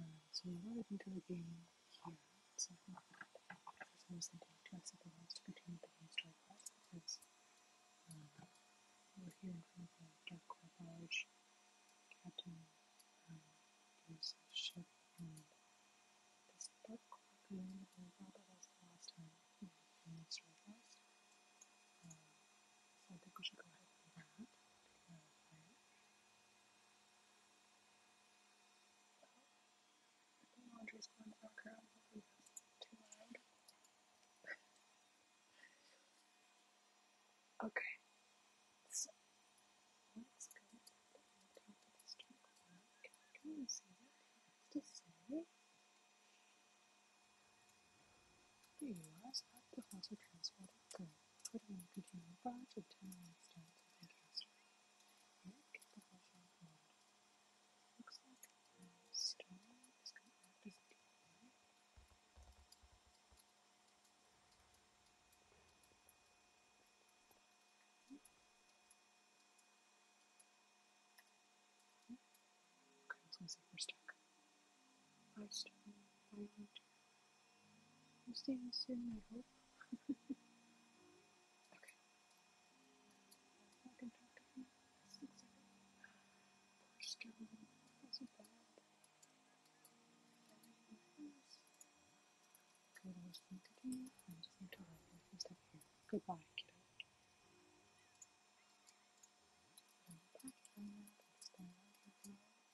uh, so we loaded into the game here, so I think that is I was thinking to us that to continue the game story quest because um, we're here in front of the Dark Core Barge. Captain um, there's a ship and this Dark Core Goon who we that was the last time we in the story quest. Um, so I think we should go ahead and do that. The laundry's going to knock around. Hopefully that's too loud. okay. So, let's go to the top of this trunk. Can you see what it has to say? There you are, so at the house of transport. Twitter will contain a bunch of tiny instance of history. It gets the version mode. Looks like the stone is going to act as a DNA. Okay, I was going to say we're stuck. We'll staying you soon, I hope. okay. I can talk to him. Six a bad thing. Goodbye, kiddo.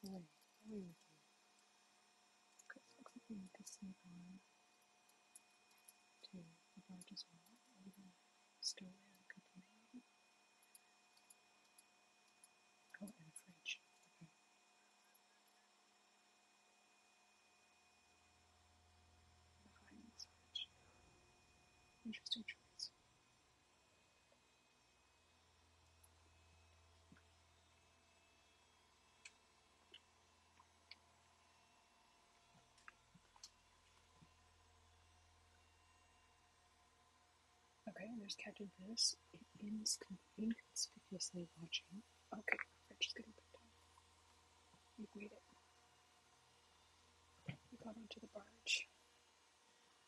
Alright, how Good, looks like we need sneak on to the largest wall over the stowaway on the company. Oh, and fridge. Behind this fridge. Interesting choice. Okay, I'm just catching this. It is inconspicuously watching. Okay, I'm just gonna put down. We've made it. We got onto the barge.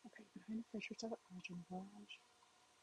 Okay, behind the pressure of up barge and barge.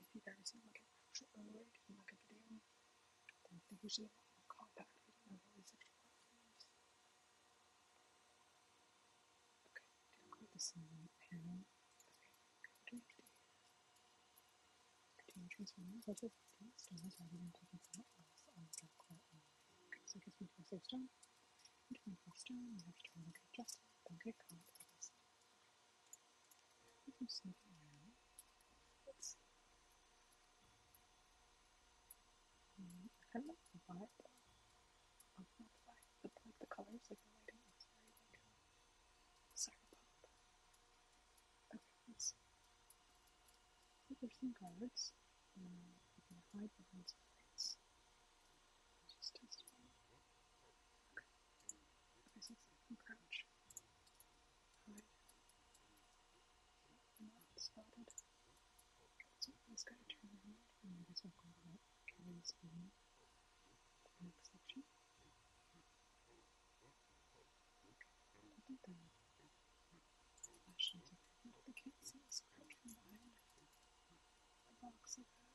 If you've ever seen like an actual Polaroid look at a video, then they're usually a lot more compact. They don't have all these extra platforms. Okay, the sunlight panel. Okay, Contain transformers such than taking someone else the back Okay, so it gives me two I kind of like the vibe of not the vibe, but like the colors, like the lighting is very like cyberpunk. Okay, let's there's some guards. you can hide behind some lights. Just test one. I see something crouch. Alright. Not spotted. So this guy turned around and I guess I'll go about Kevin's name. The next section. I think the flashlights are the cat seems crouch from behind the box of that.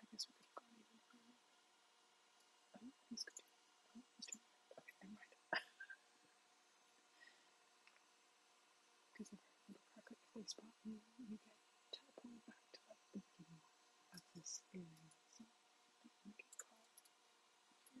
I guess we're gonna Oh, he's good. Oh, he's doing it. Okay, never mind. Because if I remember correctly, if you, get teleported to the beginning of this area. So I think we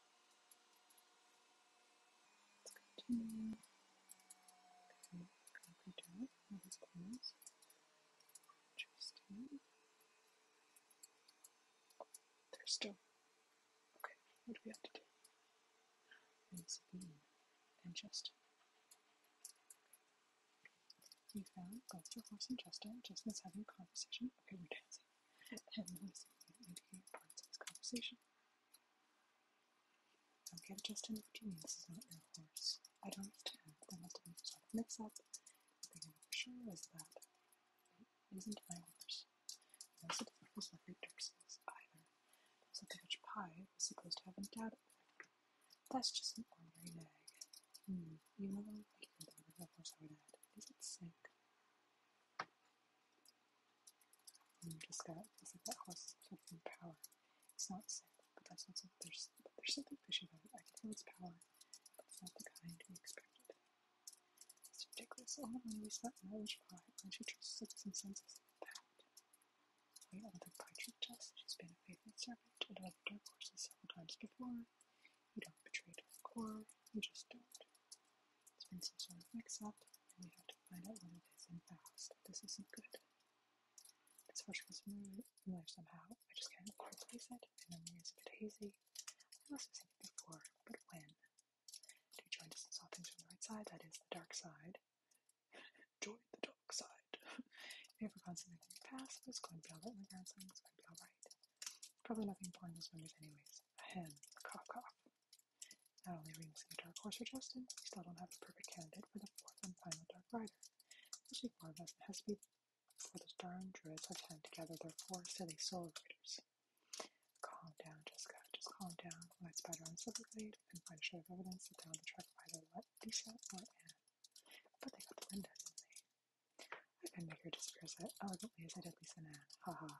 Let's continue. Okay, close. Interesting. they're still. Okay, what do we have to do? Rinse and Justin. You found Gloucester Horse and Justin. Justin's having a conversation. Okay, we're dancing. And Lucy indicated parts of his conversation. Don't get Justin what you mean this is not your horse. I don't understand. There must have been some sort of mix up. The thing I'm for sure is that it isn't my horse. Most of the horse Lefford Dirkses either. So the witch pie was supposed to have endowed it for That's just an ordinary nag. Hmm, you know what I'm thinking about a horse I would add. Does it sink? I'm just got this that horse is fucking power. It's not sick, but that's not so there's there's something fishy about it. I can feel its power, but it's not the kind we expected. It's ridiculous. Oh my we slept in Irish pie, all she trusts six and sends us a pact. Wait on the Kaiju test, oh, she's been a faithful servant I've and led dark horses several times before. You don't betray dark core, you just don't. It's been some sort of mix up and we have to find out what it is in fast. This isn't good. This rush feels familiar somehow. I just can't replace place it. My memory is a bit hazy. I must have seen it before, but when? To join us and saw things from the right side, that is, the dark side. join the dark side. if you ever gone something in the past, it's going to be alright in the ground, something's going to be alright. Probably nothing important was wonders anyways. Ahem, cough cough. Not oh, only Remus and the Dark Horse are Justin, we still don't have the perfect candidate for the fourth and final Dark Rider. Especially four of us, it has to be for the darn druids have time to gather their four silly solar riders. Calm down, Jessica. Just calm down. Let's batter on Silverglade and find a shred of evidence that down the truck either let Lisa or Anne. But they got the Linda, didn't they? I can make her disappear as elegantly as I did Lisa and ha. Haha.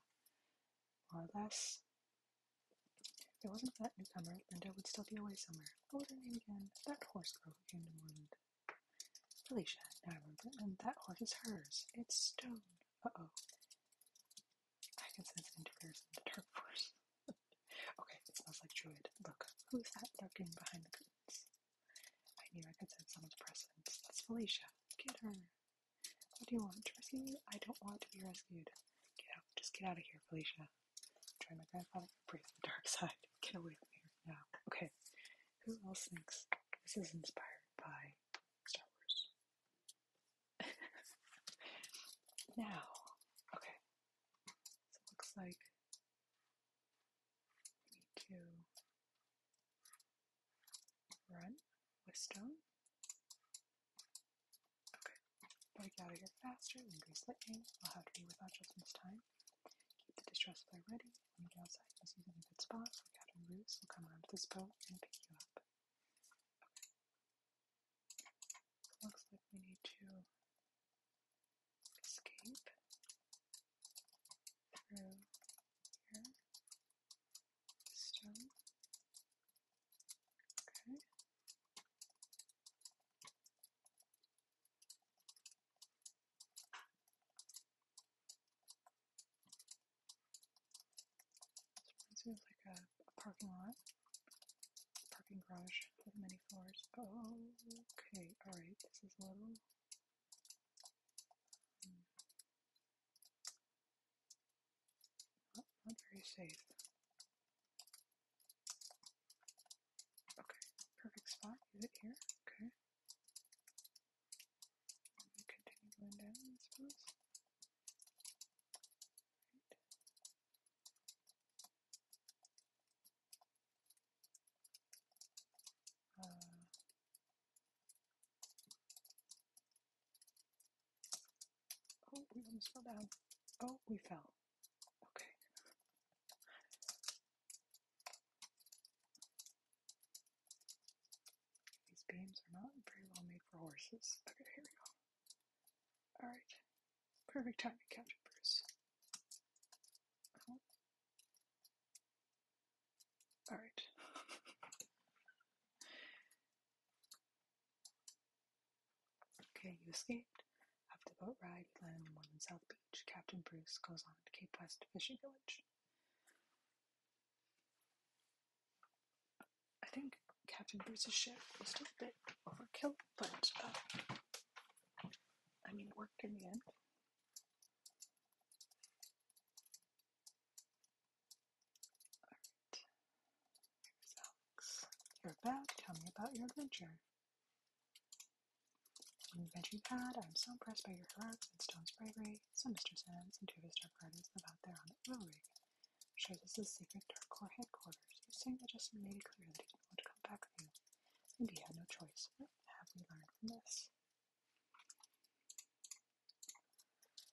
More or less, if it wasn't for that newcomer, Linda would still be away somewhere. What was her name again? That horse girl who came to Moreland. Felicia, now I remember, and that horse is hers. It's stone. Uh-oh. I can sense an interference in the dark force. okay, it smells like Druid. Look, who's that lurking behind the curtains? I knew I could sense someone's presence. That's Felicia. Get her. What do you want? To rescue you? I don't want to be rescued. Get out. Just get out of here, Felicia. Try my grandfather. Embrace the dark side. Get away from here now. Okay. Who else thinks this is inspired by Star Wars? now. Okay. So it looks like we need run with Okay, before I out of here faster and increase lightning, I'll have to be without this time. Keep the distress flare ready. When you get outside, you a good spot. We spots. Like Captain Bruce will come around to this boat and pick you up. Looks like we need to escape through here. Stone. Okay. This like a, parking lot, parking garage with many floors. okay, alright, this is little. Hmm. Not, oh, not very safe. Okay, perfect spot. Is it here? Okay. And continue going down, I suppose. Right. Uh, Oh, we almost fell down. Oh, we fell. Okay. These beams are not very well made for horses. Okay, here we go. Alright. Perfect time to catch it, Bruce. Alright. Okay, you escaped. After boat ride, you land in the Mormon South Beach. Captain Bruce goes on to Cape West Fishing Village. I think Captain Bruce's ship was still a bit overkill, but uh, I mean, it worked in the end. You're back. Tell me about your adventure. An adventure you've had. I'm so impressed by your heroics and Stone's bravery. So Mr. Sands and two of his dark riders live out there on the oil rig. I'm sure this is secret Dark core headquarters. You're saying that Justin made it clear that he didn't want to come back with you. Maybe he had no choice. What have we learned from this?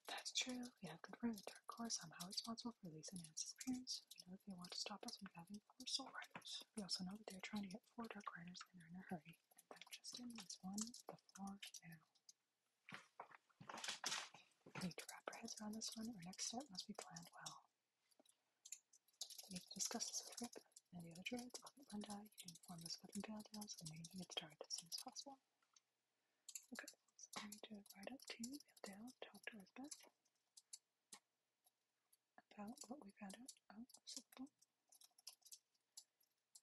That's true. We have confirmed the Dark Core is somehow responsible for Lisa and Anne's disappearance. We know that they want to stop us from having four Soul Riders. We also know that they are trying to get four Dark Riders and they're in a hurry. And that Justin is one the four now. We need to wrap our heads around this one. Our next step must be planned well. We need to discuss this with Rip and the other druids. I'll get Linda. You can inform this of the Dale Tales and maybe get started as soon as possible. Okay, so I'm going to write up to you, kneel down, talk to Elizabeth about what we found Oh, recyclable.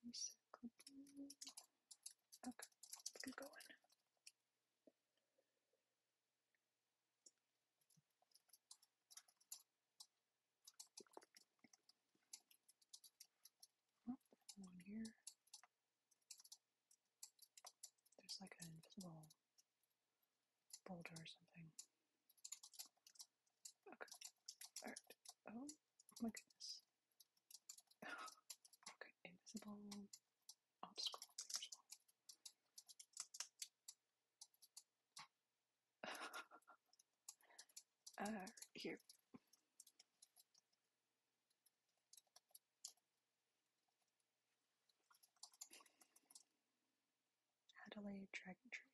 Okay, let's get going. Oh, one here. There's like an invisible boulder or something. Okay. Alright. Oh my goodness. okay, invisible obstacle. Uh, here. Adelaide Dragon Tree.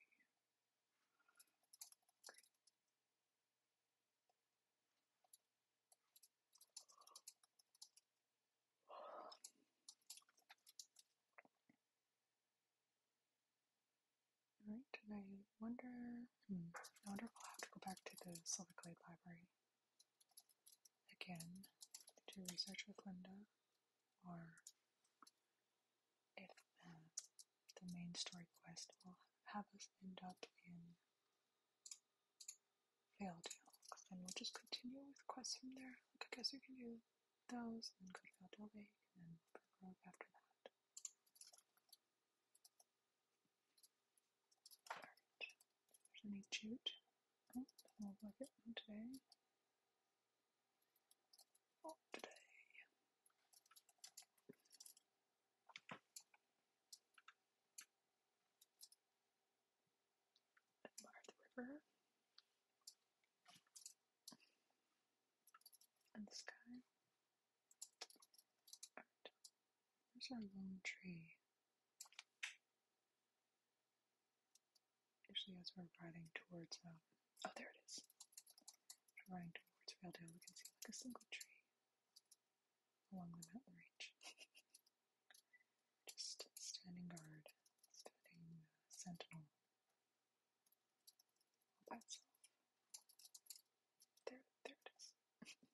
Alright, and I wonder, hmm, I wonder if I'll have to go back to the Silverglade Library Again, do research with Linda or if the, the main story quest will have us end up in Failed Hill, because then we'll just continue with quests from there. I guess we can do those, and then go to Failed Hill and then Brook after that. Alright, there's any jute. Oh, I'll today. Not today. the river. And the sky. There's our lone tree. Usually, as we're riding towards, um, oh, there it is. we're riding towards Valedale, we can see like a single tree along the mountain range. Just standing guard, standing uh, sentinel all by itself. There, there it is okay.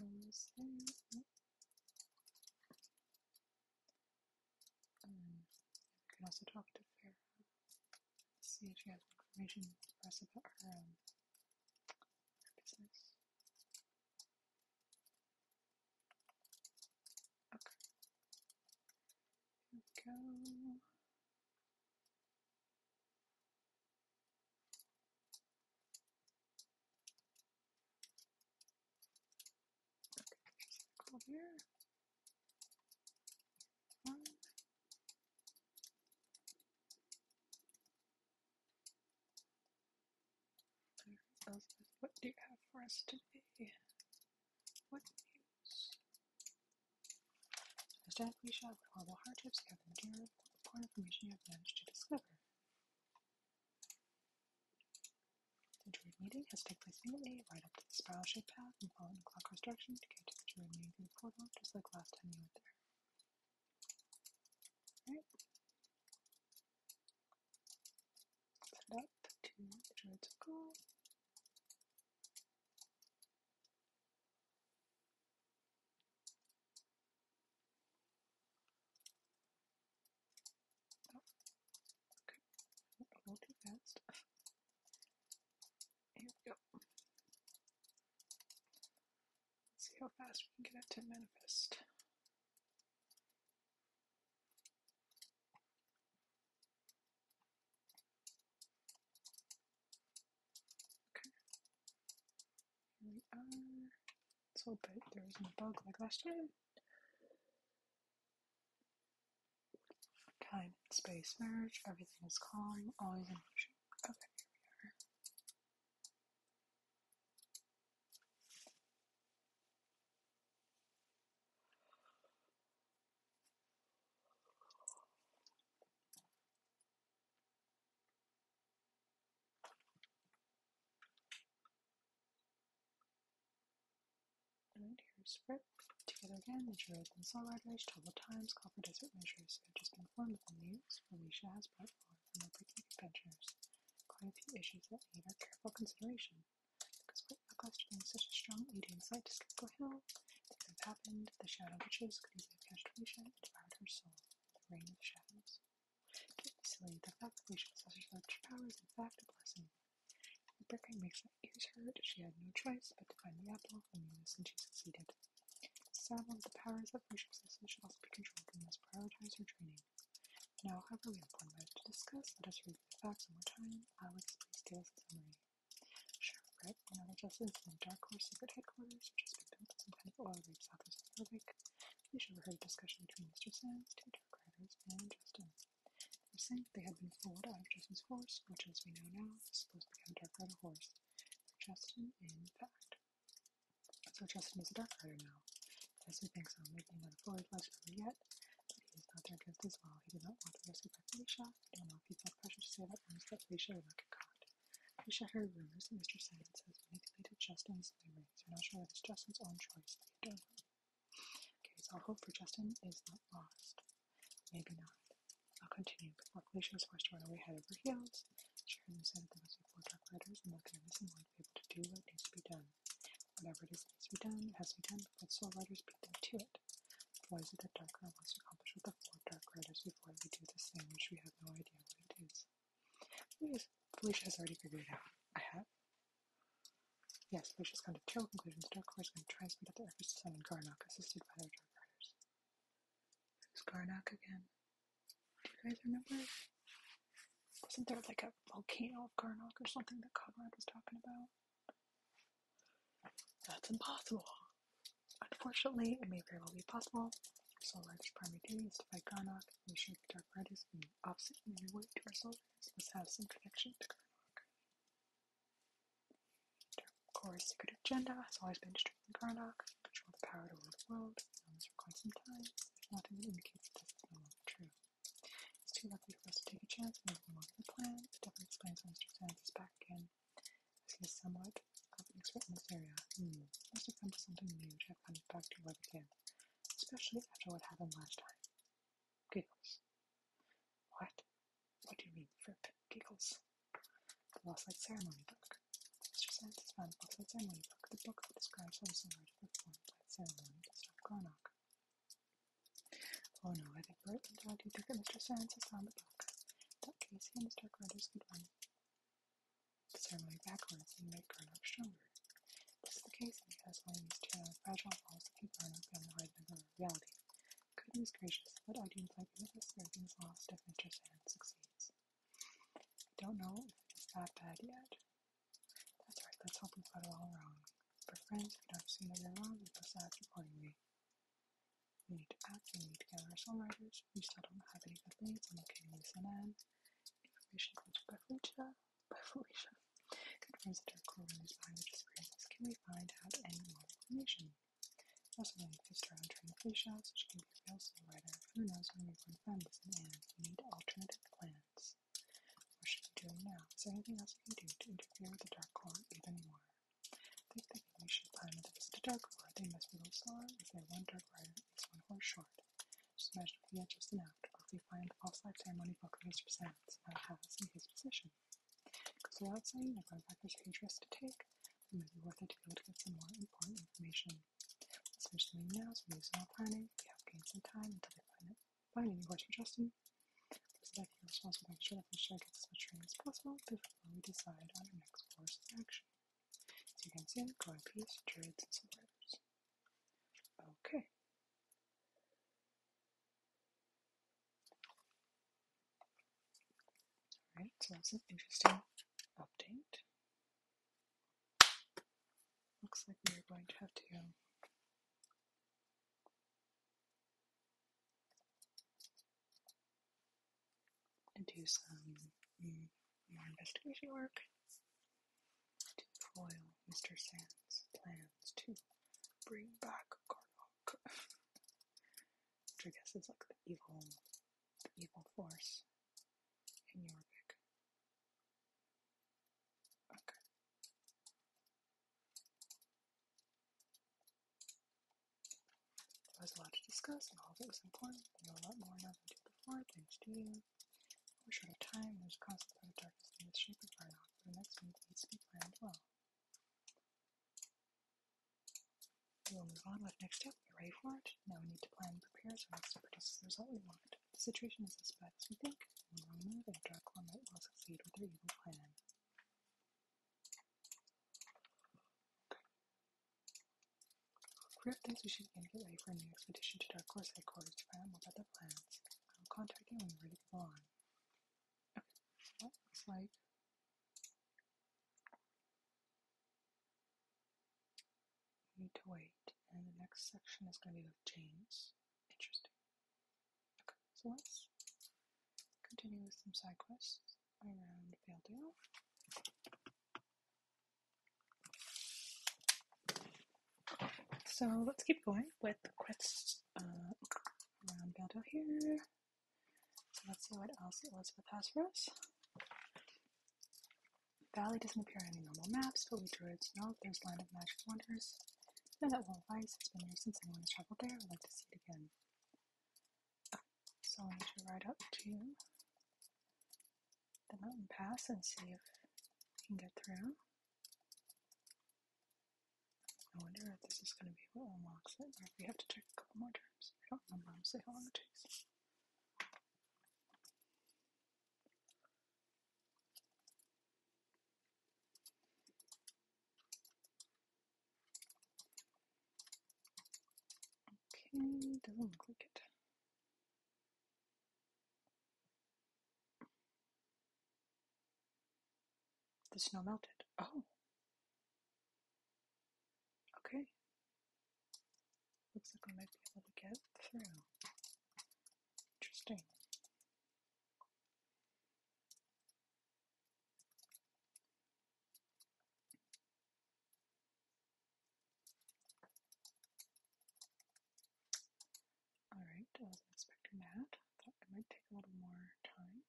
Almost there. Oh. Um, can also talk to Farah. See if she has information for us her, um, Okay. go circle here. what do you have for us today? What news? As death we shall with horrible hardships gather material information you have managed to discover. The Druid meeting has taken place immediately right up to the spiral shaped path and follow in clockwise direction to get to the Druid meeting portal, just like last time you went there. Alright. Set up to the Druid Circle. Okay, a little too fast. Here we go. Let's see how fast we can get it to manifest. Okay. Here we are. Let's hope that there isn't a bug like last time. Time, space, merge, everything is calm. always in motion. Okay, here and here's Fripp. Together again, the Druids and Soul Riders travel times, call for desert measures. I've just been informed of the news Felicia has brought forth from their picnic adventures. Quite a few issues that need our careful consideration. Because quite lackluster being such a strong leading site to go Hill, things have happened, the Shadow Witches could easily have catched Risha and devoured her soul the Reign of Shadows. Don't be silly, the fact that Risha possesses such powers is in fact a blessing. The Brickheim makes her ears hurt, she had no choice but to find the apple and Venus, and she succeeded. of the powers that Risha possesses should also be controlled and must prioritize her training. Now, however, we have one matter to discuss. Let us review the facts one more time. Alex, please give us a summary. Sure, right? and other justices and dark horse secret headquarters, which has been built as some kind of oil rig south of Rebic. You should have heard a discussion between Mr. Sands, two dark riders, and Justin. They said they had been fooled out of Justin's horse, which, as we know now, is supposed to become a dark rider horse. Justin, in fact. So Justin is a dark rider now. Jesse thinks I'm making another fully fledged member yet, but he is not their guest as well. He did not want the rescue by Felicia. I don't know if he felt pressure to say that once that Felicia would not get caught. They shatter rumors that Mr. Silence has manipulated Justin's memories. They're not sure if it's Justin's own choice. They don't. Okay, so all hope for Justin is not lost. Maybe not. I'll continue, but luckily she was forced to run away head over heels. Sheridan said that there must be four dark riders and that they are missing one to be able to do what needs to be done. Whatever it is that needs to be done, it has to be done, but soul riders beat them to it. Why is it that Dark wants to accomplish what the four Dark Riders before we do this thing which we have no idea what it is? Please, Felicia has already figured it out. I have? Yes, Felicia's come to terrible conclusions. Dark Riders are going to try and speed up their efforts to summon Garnock, assisted by their Dark Riders. Who's Garnock again? Do you guys remember? Wasn't there like a volcano of Garnock or something that Conrad was talking about? That's impossible. Unfortunately, it may very well be possible. Solari's primary duty is to fight Garnok and ensure the Dark Riders from the opposite in any way to our soldiers must have some connection to Garnok. Dark secret agenda has always been to strengthen Garnok, control the power to rule the world, known this requires some time, if nothing that indicates that this is no longer true. It's too lucky for us to take a chance and move along with the plan, it definitely explains why Mr. Sands is back again this somewhat of an expert in this area. Hmm, must have come to something new to have come back to especially after what happened last time. Giggles. What? What do you mean, Fripp? Giggles. The Lost Light Ceremony Book. Mr. Sands found the Lost Light Ceremony Book, the book describes how similar to the form light ceremony of Stop Oh no, I think Bert and Dog, you think that Mr. Sands has found the book that Khaleesi and the Stark Riders could run the ceremony backwards and make Garnock stronger. This is the case because one of these two fragile walls that keep Garnock on the right level of reality. Goodness gracious, what I do audience like this. or being lost if Mr. Sand succeeds. I don't know if it's that bad yet. That's right, let's hope we got it all wrong. But friends, we don't see that they wrong, we must act accordingly. We need to act. we need together our songwriters. We still don't have any good leads. I'm okay with CNN. Information comes from Bethlehem. Bethlehem. Good friends of Derek Corbin is behind the disappearances. Can we find out any more information? Also, we need Fister on trying to fish out so she can be a real songwriter. Who knows when we can find this in We need alternative plans. What should we do now? Is there anything else we can do to interfere with the Dark Lord even more? They think we should plan another visit to Darkmoor. They must be lost on, as they one dark rider is one horse short. Just measured the edge is an act, we find the false life ceremony book of his presents, now has in his possession. Because without saying that Gunpacker's interest to take, it might be worth it to be able to get some more important information. Let's finish the meeting now, so we use all planning. We have gained some time until they find it. Finding a horse for Justin. This is that you're responsible for making sure that the show gets as much training as possible before we decide on our next course of action. So you can see, coin piece, druids, and some letters. Okay. Alright, so that's an interesting update. Looks like we're going to have to um, to do some mm, more investigation work to foil Mr. Sand's plans to bring back Garlock. Which I guess is like the evil, the evil force in Yorvik. Okay. There was a lot to discuss, and all of it was important. We know a lot more now than we did before, thanks to you. We're short of time, there's constant threat of darkness in the shape of our knock, the next move needs to be planned well. We will move on with next step. We're ready for it. Now we need to plan and prepare so next to produce the result we want. The situation is as bad as we think, We the wrong move and a dark one that will succeed with our evil plan. Griff thinks we should get ready for a new expedition to Dark Horse headquarters to find out more about their plans. I'll contact you when we're ready to go on. Okay, so that looks like we need to wait, and the next section is going to be with James. Interesting. Okay, so let's continue with some side quests. So let's keep going with the crest uh, around Valdale here. So let's see what else Elizabeth has for us. Valley doesn't appear on any normal maps, but we druids know there's land of magic wonders. Know that Wall of Ice has been here since anyone has traveled there, I'd like to see it again. So I need to ride up to the mountain pass and see if we can get through. I wonder if this is going to be what unlocks it, or if we have to check a couple more times. I don't remember honestly how long it takes. Okay, doesn't look it. The snow melted. Oh. Okay. Looks like we might be able to get through. Interesting. Alright, I was that. might take a little more time.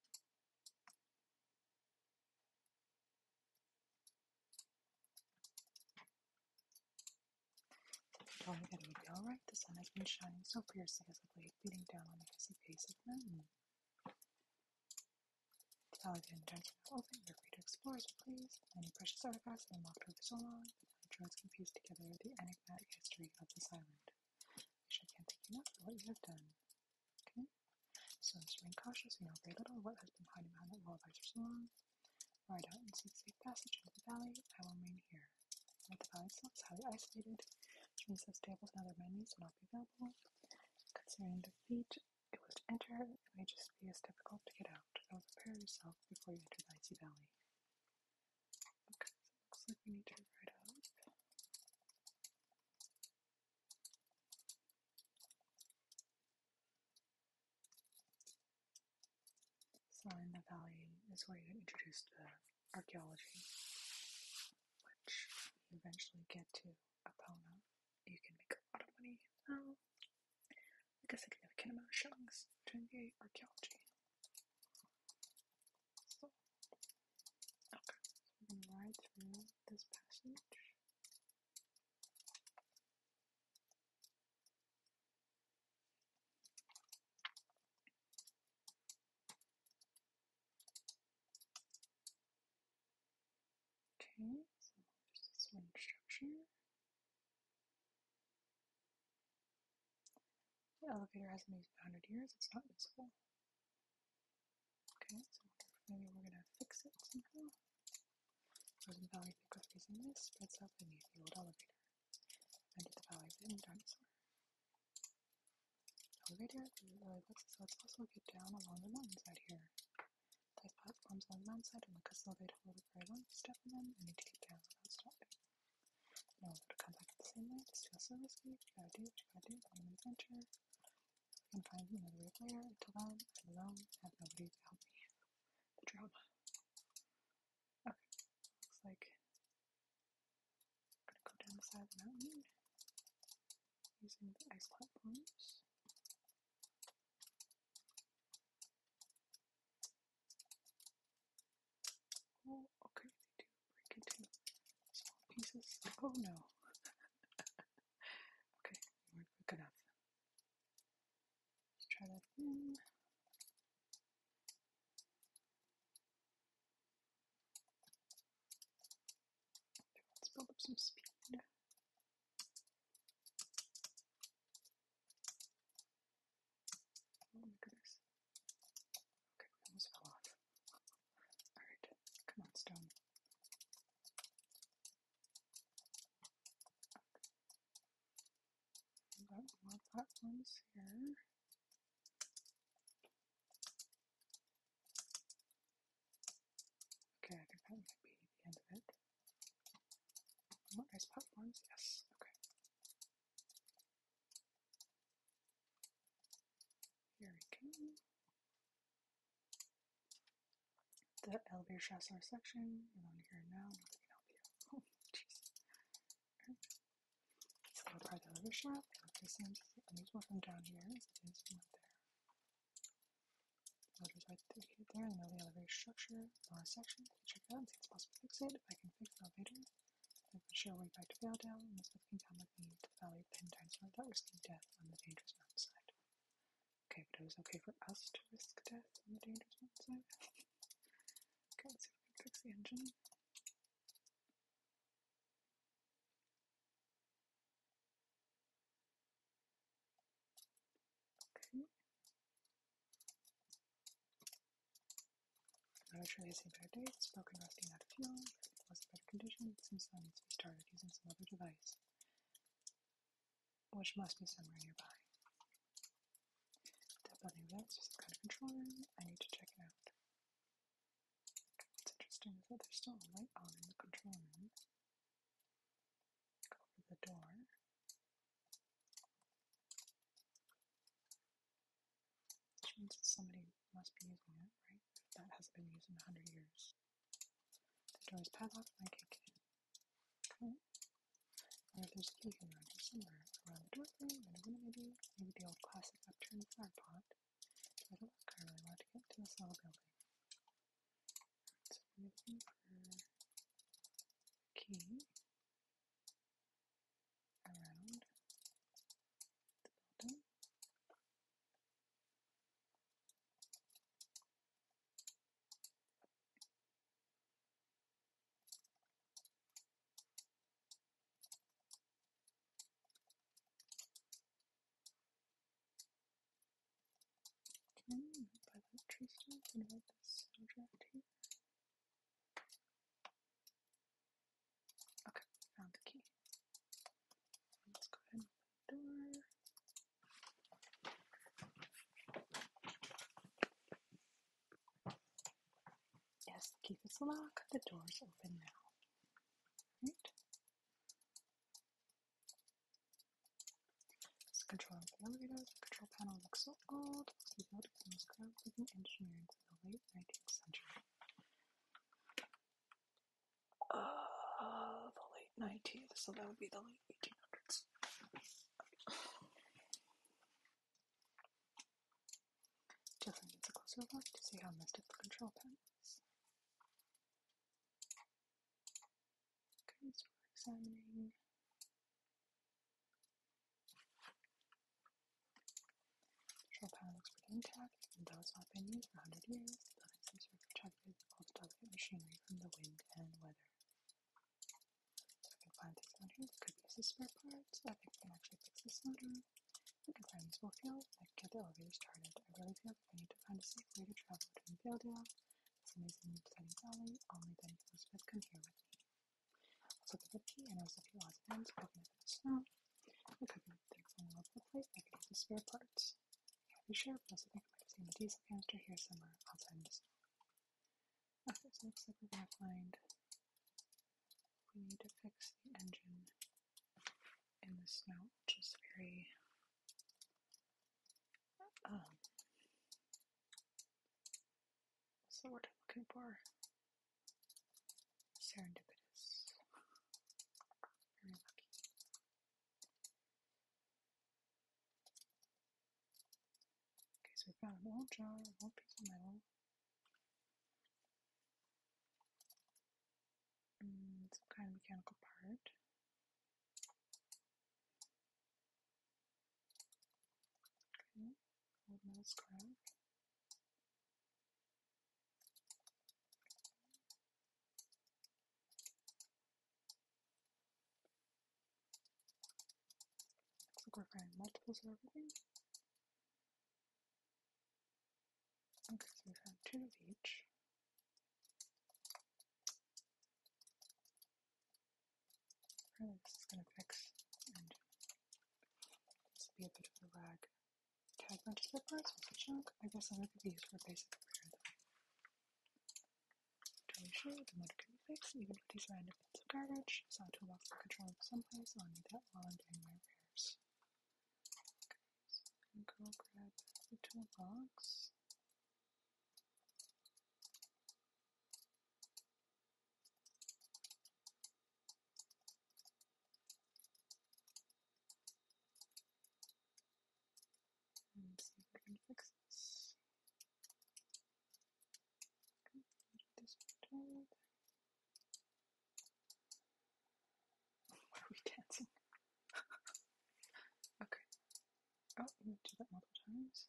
Probably that it would be alright. The sun has been shining so fiercely as the late, beating down on the icy face of the mountain. Catalogue entered now open, You're free to explore as you please, many precious artifacts have been locked away for so long, but now drones piece together the enigmatic history of this island. Wish I can't thank you enough for what you have done. Okay? So I'm remain cautious, we know very little of what has been hiding behind that wall of ice for so long. Ride out and seek safe passage into the valley, I will remain here. the valley itself is highly isolated, which means that stables and other menus will not be available. Considering defeat, it was to enter, It may just be as difficult to get out. I would prepare yourself before you enter the icy valley. Okay, looks like we need to ride up. So in the valley is where you introduced the archaeology, which you eventually get to opponent, you can make a lot of money now. Like a significant amount of shillings during the archaeology. So, okay. we're ride through this passage. Okay, so there's this wing structure. The elevator hasn't used in 100 years, it's not usable. Okay, so maybe we're gonna fix it somehow. Frozen Valley Pick with freezing mist spreads out beneath the old elevator. Under the valley of the elevator really looks as though get down along the mountainside here. There's platforms on the land and like a slow to hold very long. Step on them and need to get down without stopping. You know how to come back the same way. It's feels so risky. You got do what do. I'm an adventure. I can find another way player. Until alone. have nobody to help me. The drama. Okay. Looks like I'm gonna go down the side of the mountain using the ice platforms. Oh, okay, they do break into small pieces. Oh no. okay, not quick enough. Let's try that again. let's build up some speed look at this. Okay, almost fell off. Alright, come on, stone. Okay. Got more platforms here. Okay, I think that might be the end of it. What oh, ice platforms? Yes, okay. Here we go. The elevator shafts are section. We're on here now. can help you. Oh, jeez. Okay. So we'll the elevator shaft. This seems unusual from down here as it is from up there. Motors right here, there, and the elevator structure, lower section. I can check that; out and see if it's possible to fix it. If I can fix the elevator, I can show way back to Vale Down, this can come with me to Valley of Penn times without risking death on the dangerous side. Okay, but it was okay for us to risk death on the dangerous mountain side. okay, let's see if we can fix the engine. Okay. Arbitrarily assigned better dates, broken out of fuel, it was in better condition, since then it's restarted using some other device, which must be somewhere nearby. That that's some kind of control room, I need to check it out. What's interesting is that there's still light on the control room over the door. Which means that somebody must be using it, right? that hasn't been used in a hundred years. The door is padlocked I can't get in. there's a key hidden around somewhere, around the doorway, and maybe, maybe the old classic upturned flower pot. I don't think I really want to get to this little building. It's making her key around the building. Can I Okay, found the key. Let's go ahead and open the door. Yes, the key is locked. The door is open now. Right? This control elevators, the control panel looks so old. The building was crafted in engineering from the late 19th century. Uh, the late 19th, so that would be the late 1800s. Jeffrey needs a closer look to see how messed up the control panel is. Okay, so we're examining Control power looks pretty intact, and though it's not been used for 100 years, the building seems to have protected all the delicate machinery from the wind and weather. So we can find these motors, could use as spare parts, I think we can actually fix this motor. We can find useful fuel, get the elevator started. I really feel I need to find a safe way to travel between Vildea, this amazing new exciting valley, only then Elizabeth come here with me. I was looking for the key and I was looking odds and ends, poking at the snow. I couldn't think of all over the place I could use the spare parts. I can't be sure, but I also think I might have seen the diesel canister here somewhere outside in the snow. Okay, so looks like we're gonna find we need to fix the engine in the snow, which is very um, what's the word I'm looking for? Serendipitous. Very lucky. Okay, so we found an old jar, an old piece of metal. And mm, some kind of mechanical part. Okay, old mouse grab. Looks like we're finding multiples of everything. Okay, so we found two of each. Really, this is going to fix and this be a bit of a lag. Tag bunch of parts was a I guess I'm going to be used for basic repair though. To sure, the motor can be fixed even with these random bits of garbage. Saw toolbox for control someplace. I'll need that while I'm doing my repairs. go grab the toolbox. And see if I can fix this. are we dancing? okay, Oh, you need to do that multiple times.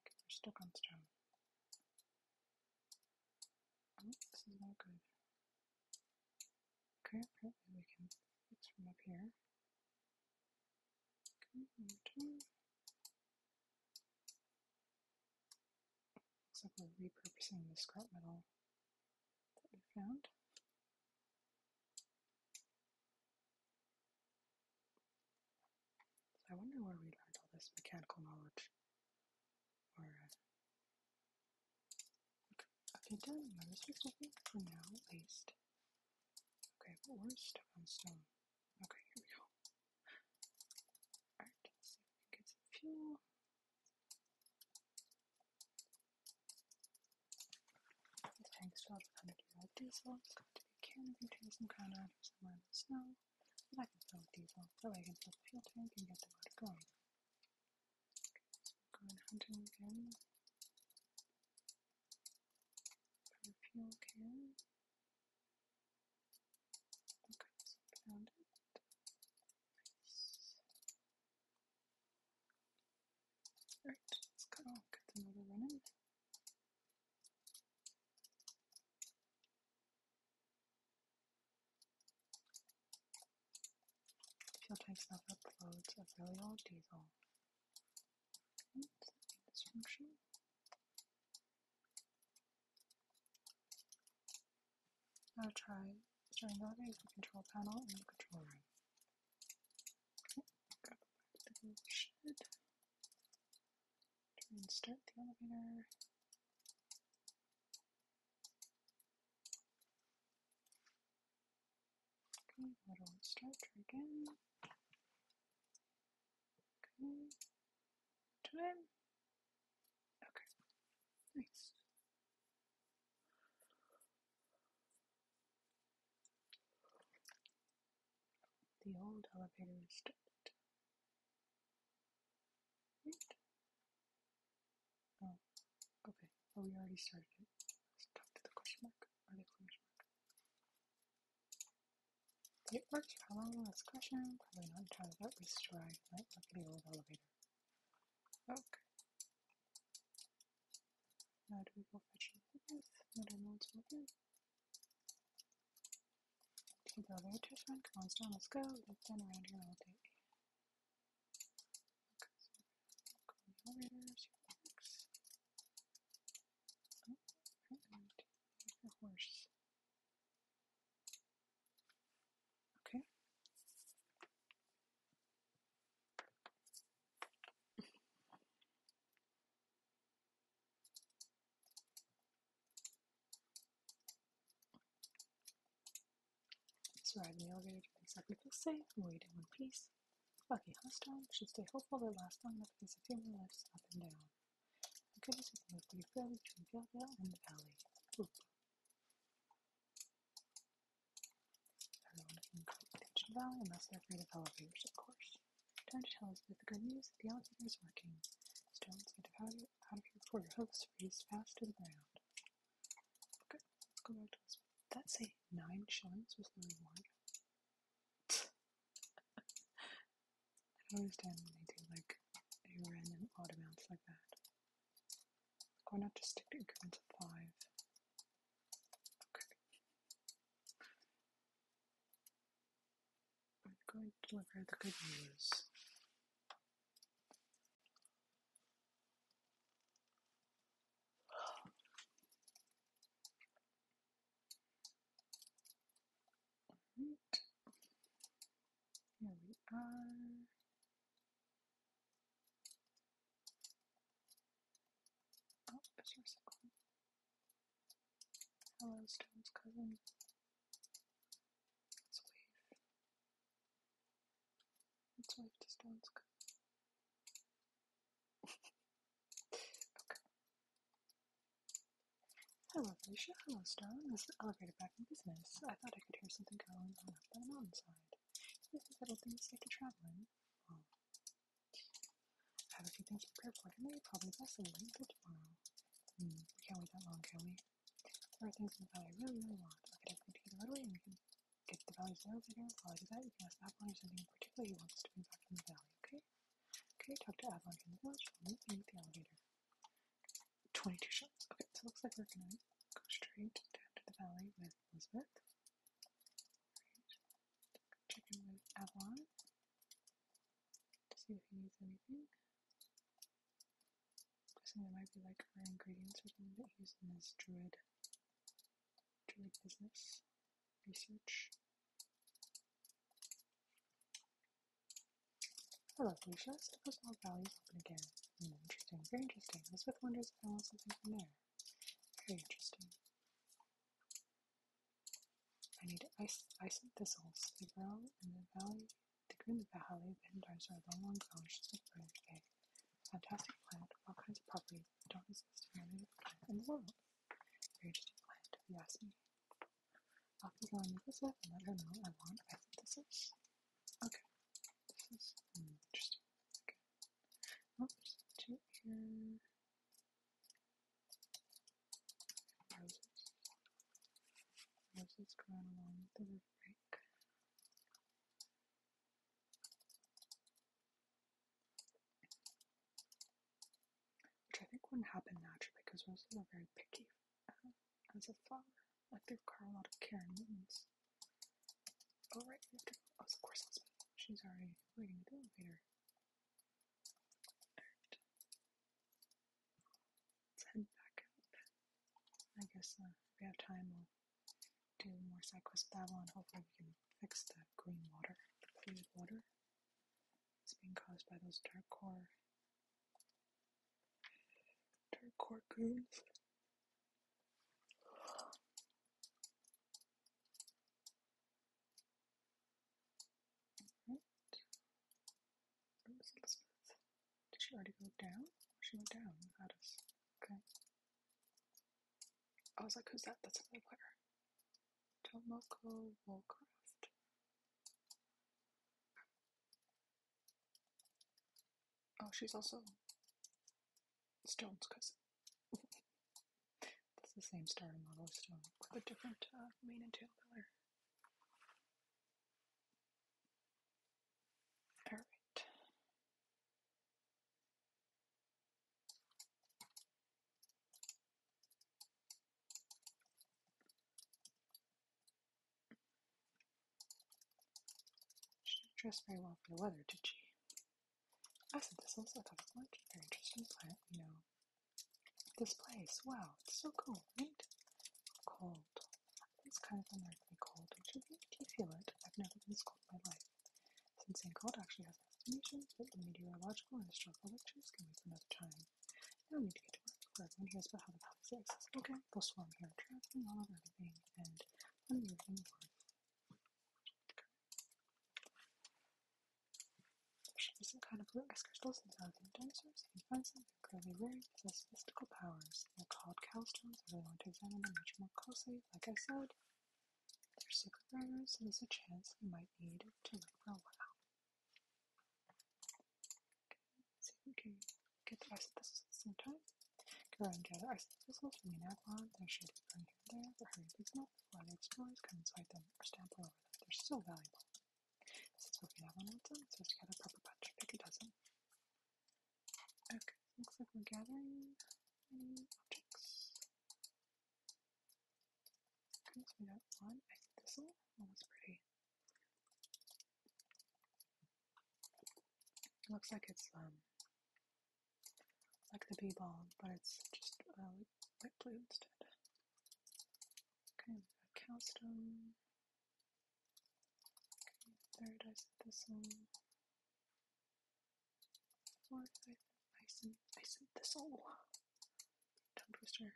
Okay, we're stuck on stone. Oh, this is not good. Okay, probably we can fix from up here. Okay, one Looks like we're repurposing the scrap metal that we found. I wonder where we learned all this mechanical knowledge. Uh, okay, done. My research, I for now, at least. Okay, but we're stuck on stone. Okay, here we go. Alright, let we get some fuel. The tanks filled with 100 year old diesel. It's going to be canned from trees and ground out or somewhere in the snow. But I can fill with diesel, so I can fill the fuel tank and get the motor going. going hunting again. fuel can. Okay, found it. Alright, let's cut off, get another run in. Fuel tank stuff uploads a really old diesel. Oops, this function. Now try showing values the control panel in the control room. Oh, got back to the shed. Try and start the elevator. Okay, little stretch again. Okay. Time. Okay. Nice. The old elevator is stopped. Oh, okay. Oh, we already started it. Let's talk to the question mark. Or the exclamation mark. It works for how long this question? Probably not entirely, but Might look the old elevator. Okay. Now do we go fetch Elizabeth? No, I know it's open. Take the elevators run. Come on, Stone, let's go. They've been around here all day. Okay, so go in the your oh, horse. Okay. Surviving the elevator to make people, feel safe and wait in one piece. Lucky Hostile should stay hopeful that last long enough because a few more lifts up and down. The goodness we can move pretty fairly between Galadale and the valley. Oop. Everyone can create attention valley unless they're afraid of elevators, of course. Time to tell us the good news, the elevator is working. Stones get out out of here before your hooves freeze fast to the ground. Good, let's go back to this. That say nine shillings was the reward. I don't understand when they do like a random odd amounts like that. Going out to stick to increments of five. I'm going to look at the good news. Here we are. Hello, Stone's cousin. let wave. let wave Stone's cousin. Hello, Felicia. Hello, Stone. This is elevator back in business. I thought I could hear something going on up on the mountainside. This is little things like a traveling. Um, I have a few things to prepare for today. Probably best and wait until tomorrow. Hmm, we can't wait that long, can we? There are things in the valley I really, really want. I could definitely take it right away and we can get the valley sales later. While I do that, you can ask Avalon if something in particular he wants to bring back from the valley, okay? Okay, talk to Avalon in the village. We'll meet beneath the elevator. 22 shots. Okay, so it looks like we're gonna go straight down to the valley with Elizabeth. Check in with Avalon to see if he needs anything. Guessing that might be like rare ingredients or something that he's in his druid, druid business research. Hello, Felicia. So personal values open again. Mm, interesting. Very interesting. I was wonders if I want something from there. Very interesting. I need ice, ice and thistles. The grow in the valley, the green valley, the hindars are long, long grown, just green birds big. Fantastic plant, all kinds of properties don't exist in any other plant in the world. Very interesting plant, if you ask me. I'll be going to Elizabeth and let her know I want ice Okay. This is interesting. Okay roses. Roses along the river break. Which I think wouldn't happen naturally because roses are very picky uh, as a flower. Like they require a lot of care and maintenance. Oh, of course, She's already waiting at the elevator. Alright. Let's head back I guess if uh, we have time, we'll do more side quests with Babylon. Hopefully, we can fix that green water, the polluted water. It's being caused by those dark core. dark core goons. Did she already go down? She went down without us. Okay. I was like, who's that? That's another player. Tomoko Woolcraft. Oh, she's also Stone's cousin. It's the same starting model as with a different uh, mane and tail color. Alright. She dress very well for the weather, did she? Acid I thought it's much a very interesting plant, you know. This place, wow, it's so cool, right? Cold. It's kind of unlikely cold, which you you feel it. I've never been this cold in my life. Since saying cold actually has an explanation, but the meteorological and historical lectures can wait for another time. Now we need to get to work before everyone hears about how the palace exists. Okay, they'll swarm here, traveling all over everything, and unmoving the earth. There should be some kind of luminous crystals inside the dinosaurs. If you find some, they're clearly rare possess mystical powers. They're called cowstones. I really want to examine them much more closely. Like I said, they're secret rarities, so there's a chance you might need to look for a while. see if we can get the ice at the same time. Go around and gather ice crystals from the Anapon. There should be there, the herd is not flooded, stories cut them, or stamped over them. They're so valuable. This is what have on our so let's gather proper bunch. Pick a dozen. Okay, looks like we're gathering objects. we got one egg thistle. Oh, that's pretty. It looks like it's um like the b-ball, but it's just white uh, blue instead. Okay, we've got Cowstone. Okay, Paradise Thistle. Fourth, I Ison, Ison Thistle. Tongue Twister.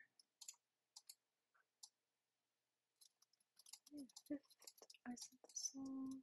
Okay, fifth, Ison Thistle.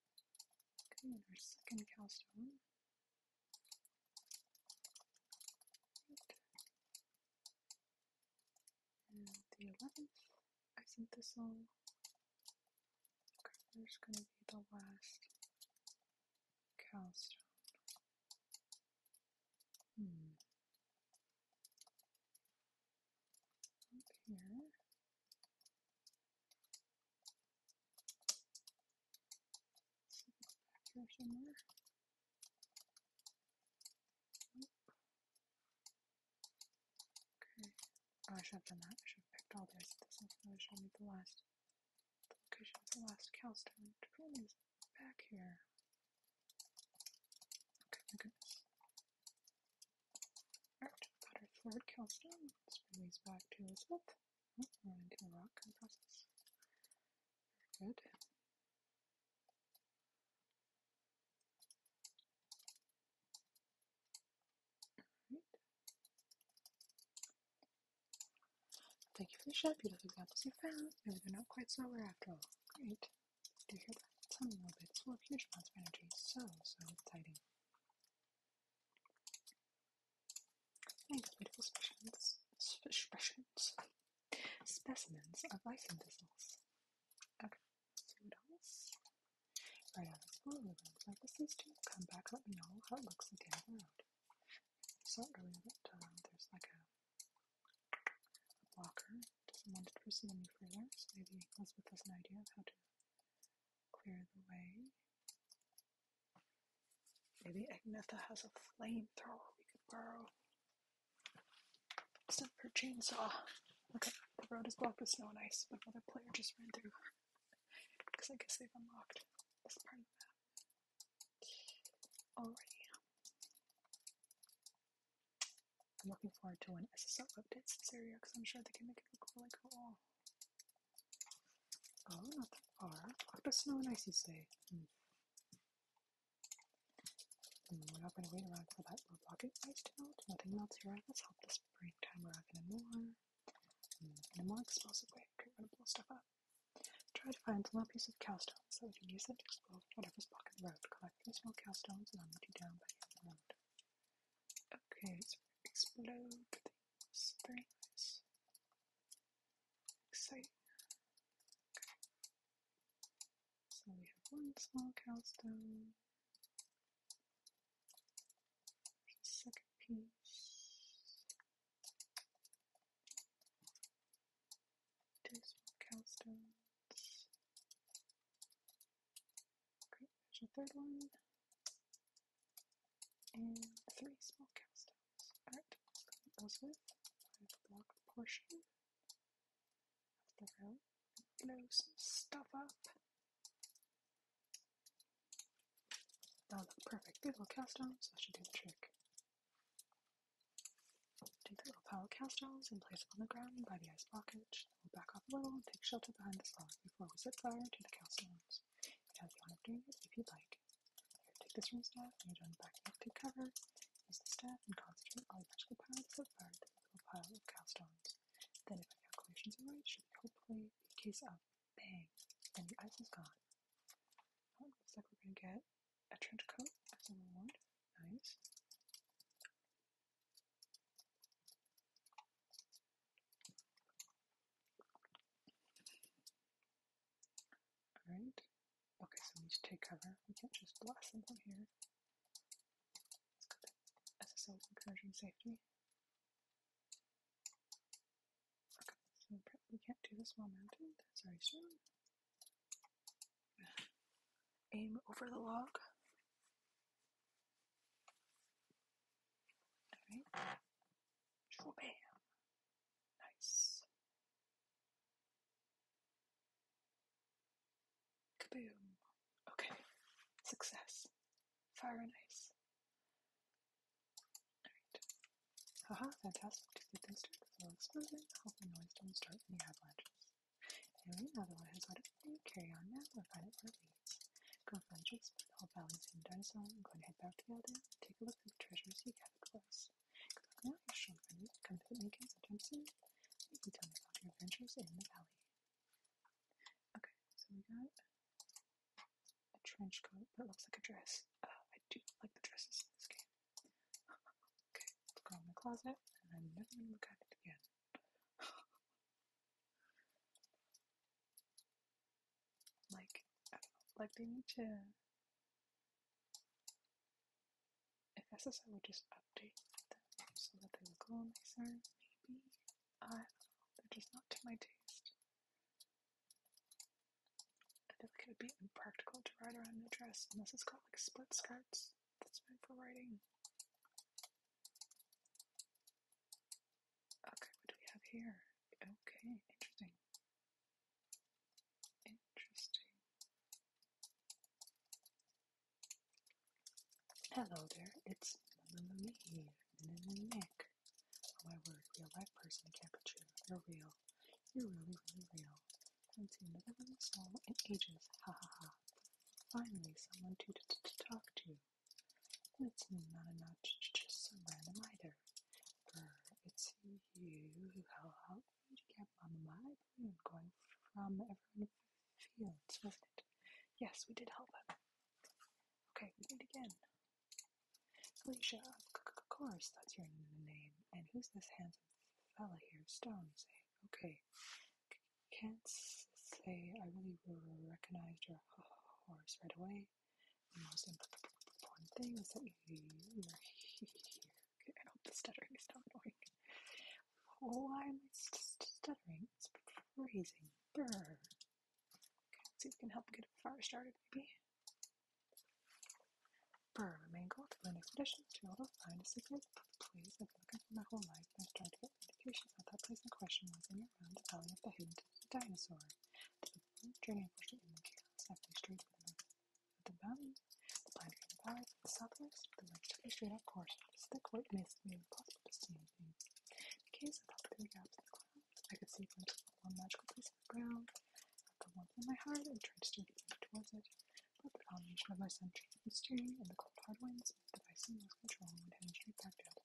Okay, and our second cowstone. Right. And the eleventh Okay, there's gonna be the last cowstone. Hmm. Okay. Back here somewhere. Okay. Oh, I should have done that. I should have picked all those. This one should me the last location of the last calstone. The problem is back here. Okay, my goodness. Alright, got our third calstone. Let's bring these back to Elizabeth and the rock compresses. Very good. Right. Thank you for the shot. Beautiful examples you found. Maybe they're not quite sober after all. Great. Do you hear a little bit. It's huge amounts of energy. So, so exciting. Incredible specimens, specimens, specimens of bison vessels. Okay, so what else? Right on this blue ribbon. Like this is to come back, let me know how it looks at the So earlier that um, there's like a, a blocker. Doesn't want it to pursue any further, so maybe Elizabeth has an idea of how to clear the way. Maybe Agnetha has a flamethrower we could borrow. Except for chainsaw. Okay, the road is blocked with snow and ice, but another player just ran through. Because I guess they've unlocked this part of the map. I'm looking forward to when SSO updates this area because I'm sure they can make it look really cool. Oh, not that far. What oh, snow and icy stay. Hmm. Hmm, we're not going to wait around for that We'll roadblock ice to melt. Nothing melts here. Let's help this break time around in a more, hmm, in a more explosive way. Get rid of blow stuff up. Try to find small pieces of cow cowstones so we can use them to explode whatever's blocking the road. Collect these small cow stones and I'm down by the end of the road. Okay, so explode it's very nice. Exciting. So we have one small cowstone. second piece. Two small cowstones. Great, there's a third one and mm, three small cast outs. Art Malcolm Ellsworth block portion of the row. Blow some stuff up. Oh, That'll look perfect. Big little cast on, that should do the trick. Take the little pile of cast ons and place them on the ground by the ice blockage. We'll back off a little and take shelter behind the log before we set fire to the cast ons. It has monitors if you'd like. take this from staff, and you join back up to cover. Use the staff and concentrate all your magical power to flip forward the little pile of stones. Then, if my calculations are right, should hopefully be case of bang, and the ice is gone. Oh, looks like we're going to get a trench coat as a reward. Nice. Alright. Okay, so we need to take cover. We can't just blast them from here. Let's go to SSL encouraging safety. Okay, we can't do the small mountain. That's already shown. Aim over the log. Alright. Bam. Nice. Kaboom. Okay. Success. Fire and ice. Haha, fantastic. To things started with a little exposing. Hope noise doesn't start any avalanches. Anyway, now that I has what it carry on now, we'll find it where we Go find your spot, all valleys and turns on, go and head back to the Aldea, take a look at the treasures you have with us. Good luck now, your strong come visit me again sometime soon, you can tell me about your adventures in the valley. Okay, so we got a trench coat that looks like a dress. Uh, I do like the dresses in this game. okay, go in the closet, and I'm never going to look at it again. like like they need to if SSI would just update them so that they look a little nicer, maybe. I don't know, they're just not to my taste. I feel like it would be impractical to ride around in a dress unless it's got like split skirts that's meant for riding. Okay, what do we have here? Okay, interesting. Interesting. Hello there, it's me, and Nick. Oh my word, real life person, Capuchin. You're real. You're really, really real. Haven't seen the living soul in ages. Ha ha ha. Finally, someone to talk to. That's not enough to just some random either. it's you who helped me to get my balloon going from everyone fields, wasn't it? Yes, we did help him. Okay, we did again. Alicia, of course, that's your name. And who's this handsome fellow here? Stone, you say. Okay. can't say I really recognized your horse right away. The most important thing is that you are here. I hope the stuttering is not annoying. Why am I st stuttering? It's freezing. Brr. Okay, see if we can help get a fire started, maybe. Burr, my main goal to learn expeditions to be able to find a secret place I've been looking for my whole life, I've tried to get indications at that place in question was in the valley of the hidden dinosaur. The during a portion in the chaos halfway straight for the north the valley, the pine tree the valley to the southwest, the lake took me straight out course. This thick white made me impossible to see anything. The case I popped through the gaps in the clouds. I could see glimpses one magical piece of the ground. After one in my heart, And tried to steer the center towards it, but the combination of my senses and steering and the cold hard winds meant the I seemed lost control and headed straight back down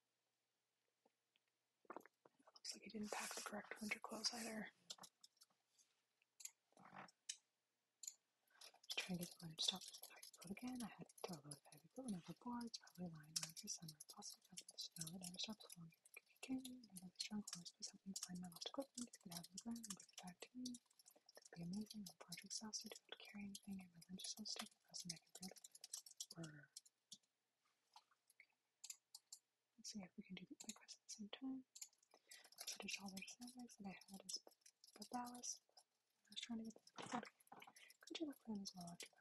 Looks like he didn't pack the correct winter clothes either. trying to get the winter stop coat again. I had to throw a load of heavy clothing overboard. It's probably lying around for summer. Possibly covered in snow. It never stops falling. It could Another strong horse. Please help me find my lost equipment. Get it out the ground bring it back to me. That would be amazing. I'm partially to carry anything. And my limbs so stiff. Let's see if we can do the breakfast at the same time. So the dollar sandwich that I had is babalas. I was trying to get the. pizza. Could you the for them as well after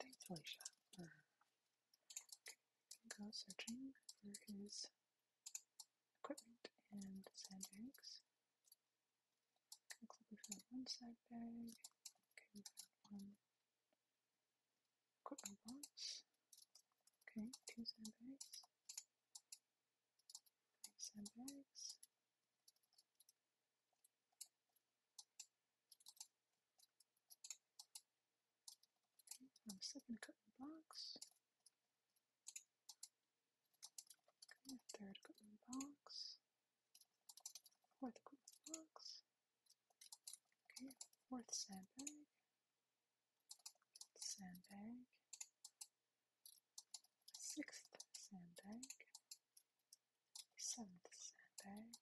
Thanks, Alicia. Go searching for his equipment and sandbags. It looks we found one side bag. Okay, we found one equipment box. Okay, two side bags. Three side bags. Okay, found a second equipment box. Okay, a third equipment box. Fourth group of books. Okay, fourth sandbag. Sandbag. Sixth sandbag. Seventh sandbag.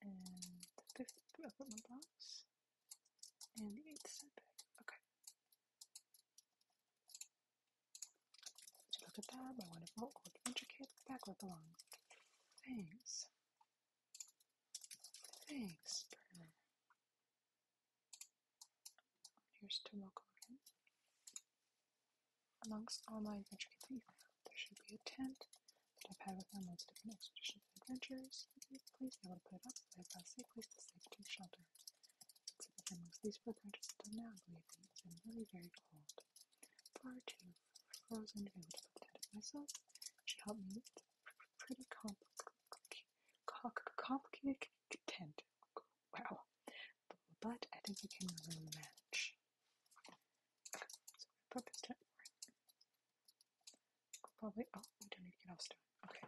And the fifth equipment box and eight setback. Okay. Look at that, my wonderful back with the long. Thanks. Thanks, Burner. Here's Tomoko again. Amongst all my adventure thieves, there should be a tent that I've had with them most of different expeditions and adventures. Please be able to put it up, but if I say place to safety shelter. It's amongst these footprints still now has been really very cold. Far too frozen to be able to look at it myself. She helped me with pretty complicated Wow. But I think we can really manage. Probably, oh, we don't need get off Okay.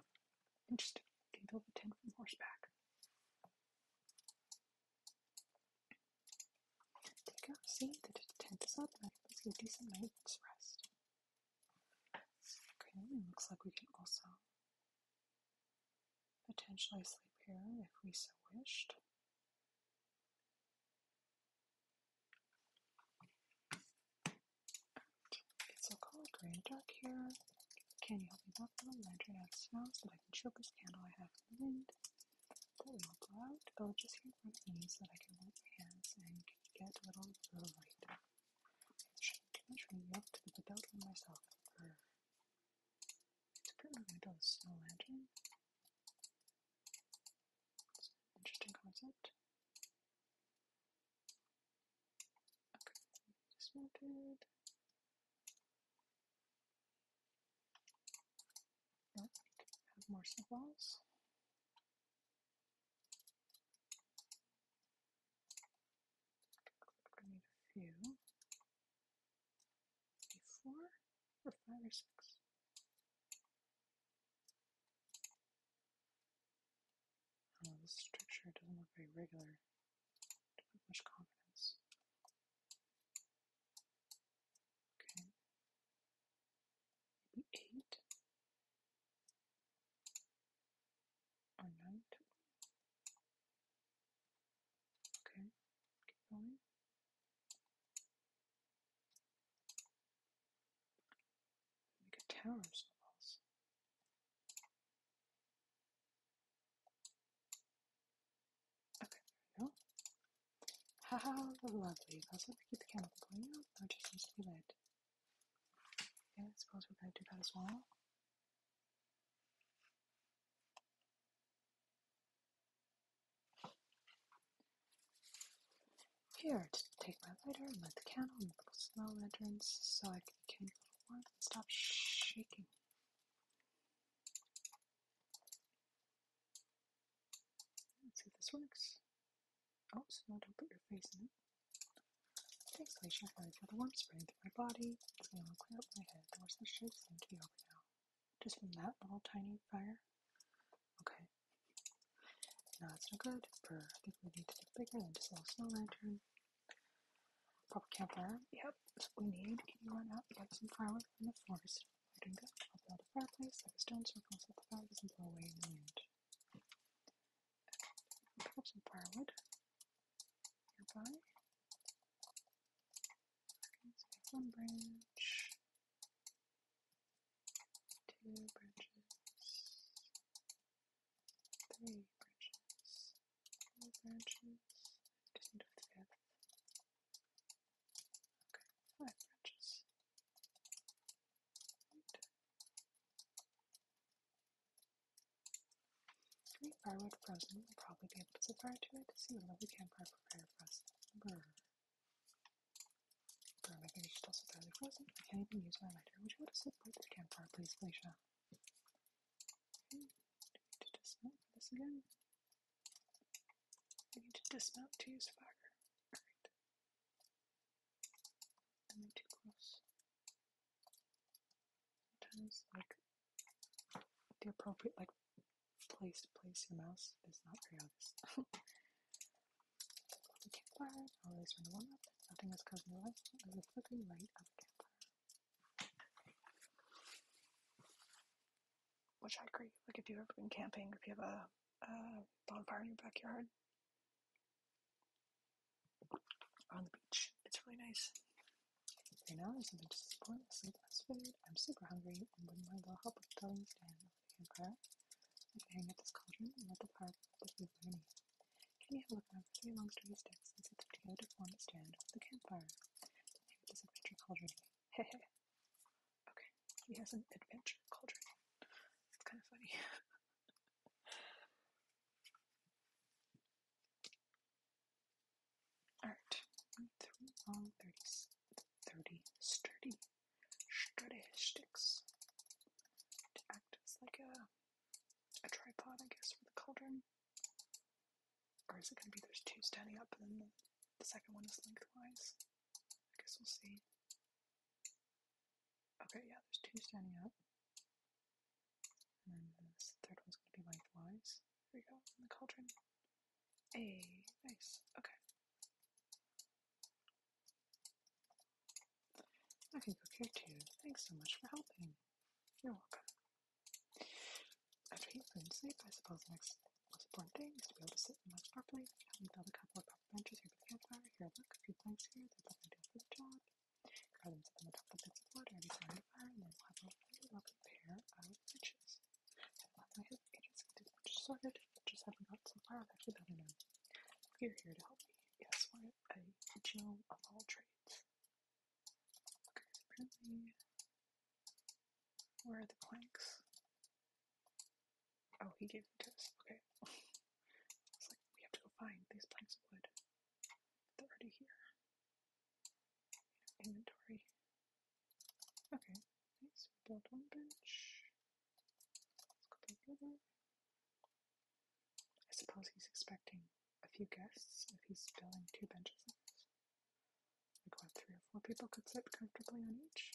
Interesting. Can build a tent from horseback. Take out see that the tent is up let's get a decent night's rest. Okay, it looks like we can also potentially sleep here if we so wished. It's a cold, gray, dark here. Can you help me walk down the lantern out of snow so that I can choke this candle I have in the wind? That will blow out. Go oh, just here from me so that I can warm my hands and get a little little light. Measuring me to the belt myself. It's a pretty little snow lantern. It's interesting concept. Okay, just melted. Oh, have more snowballs. I need a few. four or five or six. I don't know, this structure doesn't look very regular. don't have much confidence. Okay. Maybe eight or nine. Okay, keep going. Make a tower of snowballs. Okay, there we go. How lovely. Also, to keep the candle going out, or just needs to be lit. Okay, I suppose we're going to do that as well. Here, to take my lighter and light the candle and the so I can get a little warmth. Stop shaking. Let's see if this works. Oh, no! don't put your face in it. Thanks, Glacier, for the warmth spreading through my body. It's going to clear up my head. The the shit seems to be now. Just from that little tiny fire? Okay. No, that's no good. Brr, I think we need to be bigger than just a small lantern. Proper campfire. Yep, that's what we need. Can you run out and get some firewood from the forest? Right and go. I'll build a fireplace, like a stone circle, set the fires and blow away in the wind. Pick some firewood nearby. Okay, so we one branch, two branches, three branches, I five branches. Eight. firewood frozen will probably be able to set fire see what lovely campfire prepared for us. Brr. Brr, my fingers are still frozen, I can't even use my lighter. Would you want to sit right to the campfire, please, Felicia? I need to dismount this again. I need to dismount to use fire. I'm too close. Sometimes, like, the appropriate, like, place to place your mouse is not very obvious. the campfire, always when warm up, nothing is causing the light is light of a campfire. Which I agree. Like if you've ever been camping, if you have a, bonfire in your backyard on the beach, it's really nice. Right now, there's something to support the sleepless food. I'm super hungry and wouldn't mind the help of filling stand over the campfire. I can hang out this cauldron and let the fire put the food can you have Jenny had woven three long sturdy sticks and set them together to form a stand for the campfire. The name this adventure cauldron Hehe. okay, he has an adventure cauldron. It's kind of funny. Alright, three long 30s. sturdy, sturdy sticks to act as like a, a tripod, I guess, for the cauldron. Or is it going to be there's two standing up and then the second one is lengthwise? I guess we'll see. Okay, yeah, there's two standing up. And then this third one's going to be lengthwise. There we go, in the cauldron. A nice. Okay. I can cook here too. Thanks so much for helping. You're welcome. After you fell asleep, I suppose the next most important thing is to be able to sit and lunch properly. Having build a couple of proper benches here by the campfire, here look, a few planks here, that will do ideal for the job. Grab them, set them on top of the bits of wood, ready to the fire, and then we'll have a really lovely pair of benches. I've left my head pages and these benches sorted, but just haven't got so far, I've actually to know. You're here to help me. Yes, we're a general of all trades. Okay, apparently, where are the planks? Oh, he gave them to us. Okay. it's like, we have to go find these planks of wood. They're already here. Inventory. Okay, nice. We built one bench. Let's go build another. I suppose he's expecting a few guests if he's filling two benches like this. Like what, three or four people could sit comfortably on each.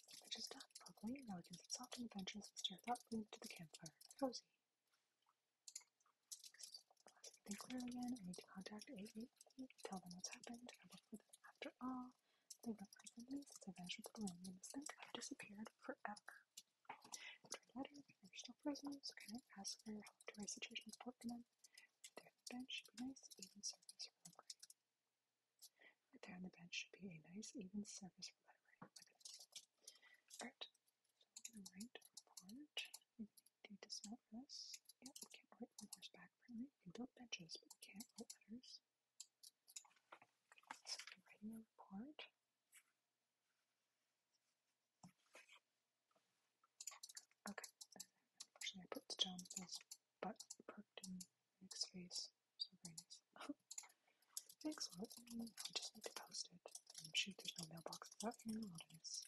Which just done. Probably. Now we can sit soft on the benches and stare thoughtfully into the campfire. Cozy. Think clear again. I need to contact eight eight eight. tell them what's happened. after all. They went from me since I vanished with the wind and this have disappeared forever. After a letter, they are still prisoners. Connor asks her how the Tory situation is put for them. Right there on the bench should be nice, even service for them. Right there on the bench should be a nice, even service for them. Right? Look at this. Alright, so we're going to write report. We need to dismount for this. Yep, we can't write from horseback, apparently. We can build benches, but we can't write letters. So we're writing a report. Okay, unfortunately I put the John his butt perked in Nick's face. So very nice. Thanks, Excellent. I just need to post it. Shoot, there's no mailbox out here I'll just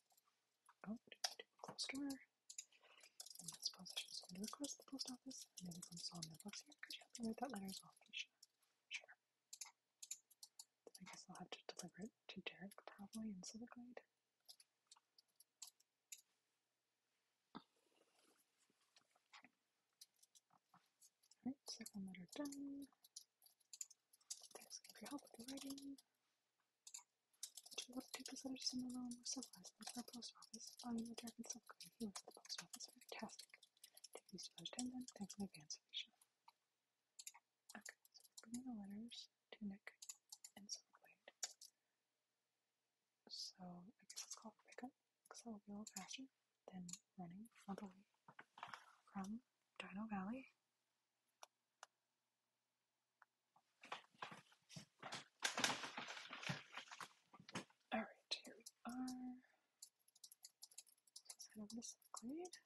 Oh, do I do a closed door? I suppose I should send request the post office. And then maybe some small mailbox here. because you have to write that letter as well, please? Sure. I guess I'll have to deliver it to Derek probably in Silverglade. second letter done. Thanks for your help with the writing. Would you love to take this letter to someone more civilized than our post office? On oh, the Derek and Silverglade, he lives at the post office. Fantastic. these to lunchtime then. Thanks in advance, Alicia. Okay, so between the letters, to Nick and some blade. So I guess it's called pickup, because that will be a little faster than running all the way from Dino Valley. Alright, here we are. Let's head over to Cyclade.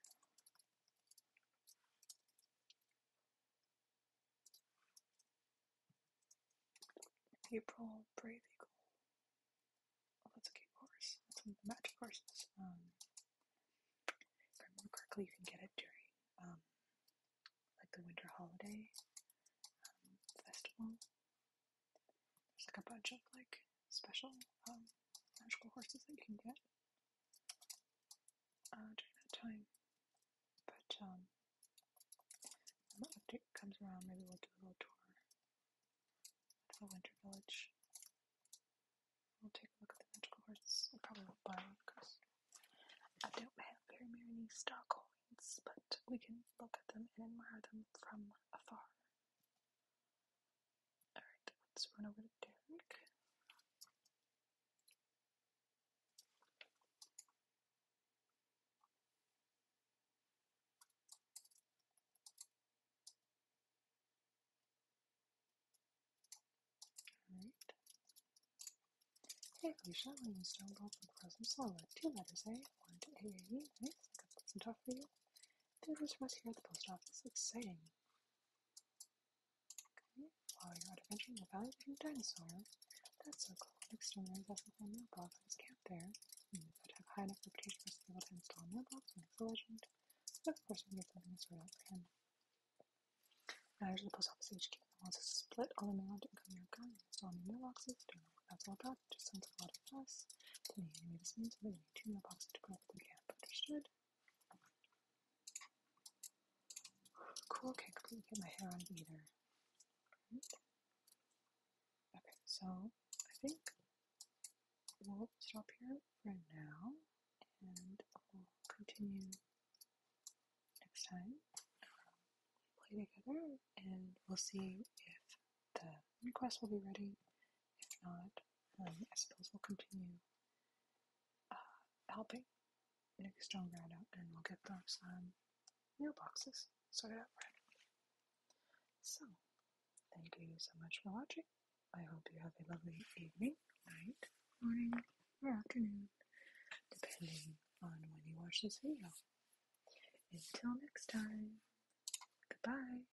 April Brave Eagle. Oh, that's a cute horse. That's one of the magic horses. Um, if I remember you can get it during um, like the winter holiday um, festival. There's like a bunch of like special um, magical horses that you can get uh, during that time. But um, when the update comes around, maybe we'll do a little tour of the Winter Village. We'll take a look at the magical horses. I probably won't buy one because I don't have very many stock coins, but we can look at them and admire them from afar. Alright, let's run over to Derek. Alright. Hey, Alicia, when you stumbled and frozen solid, two letters, eh? One to AAU, nice, I got some tough for you. There was rest here at the post office. Exciting. while you're adventuring, the valley from dinosaur. That's so cool. Next time there's also a mailbox that camped there. Hmm, that have high enough reputation to be able to install a and it's a of course, we get something sort out for Now there's the post office HQ that wants to split all the mail into incoming and outgoing and install new mailboxes. Don't know what that's all about. just sounds a lot of fuss. To me, anyway, this Cool, okay, couldn't get my head on either. Okay, so I think we'll stop here for now and we'll continue next time. Um, play together and we'll see if the request will be ready if not, I suppose we'll continue uh, helping Nick Stoneground out and we'll get those mailboxes um, sorted out So, thank you so much for watching. I hope you have a lovely evening, night, morning, or afternoon, depending on when you watch this video. Until next time, goodbye.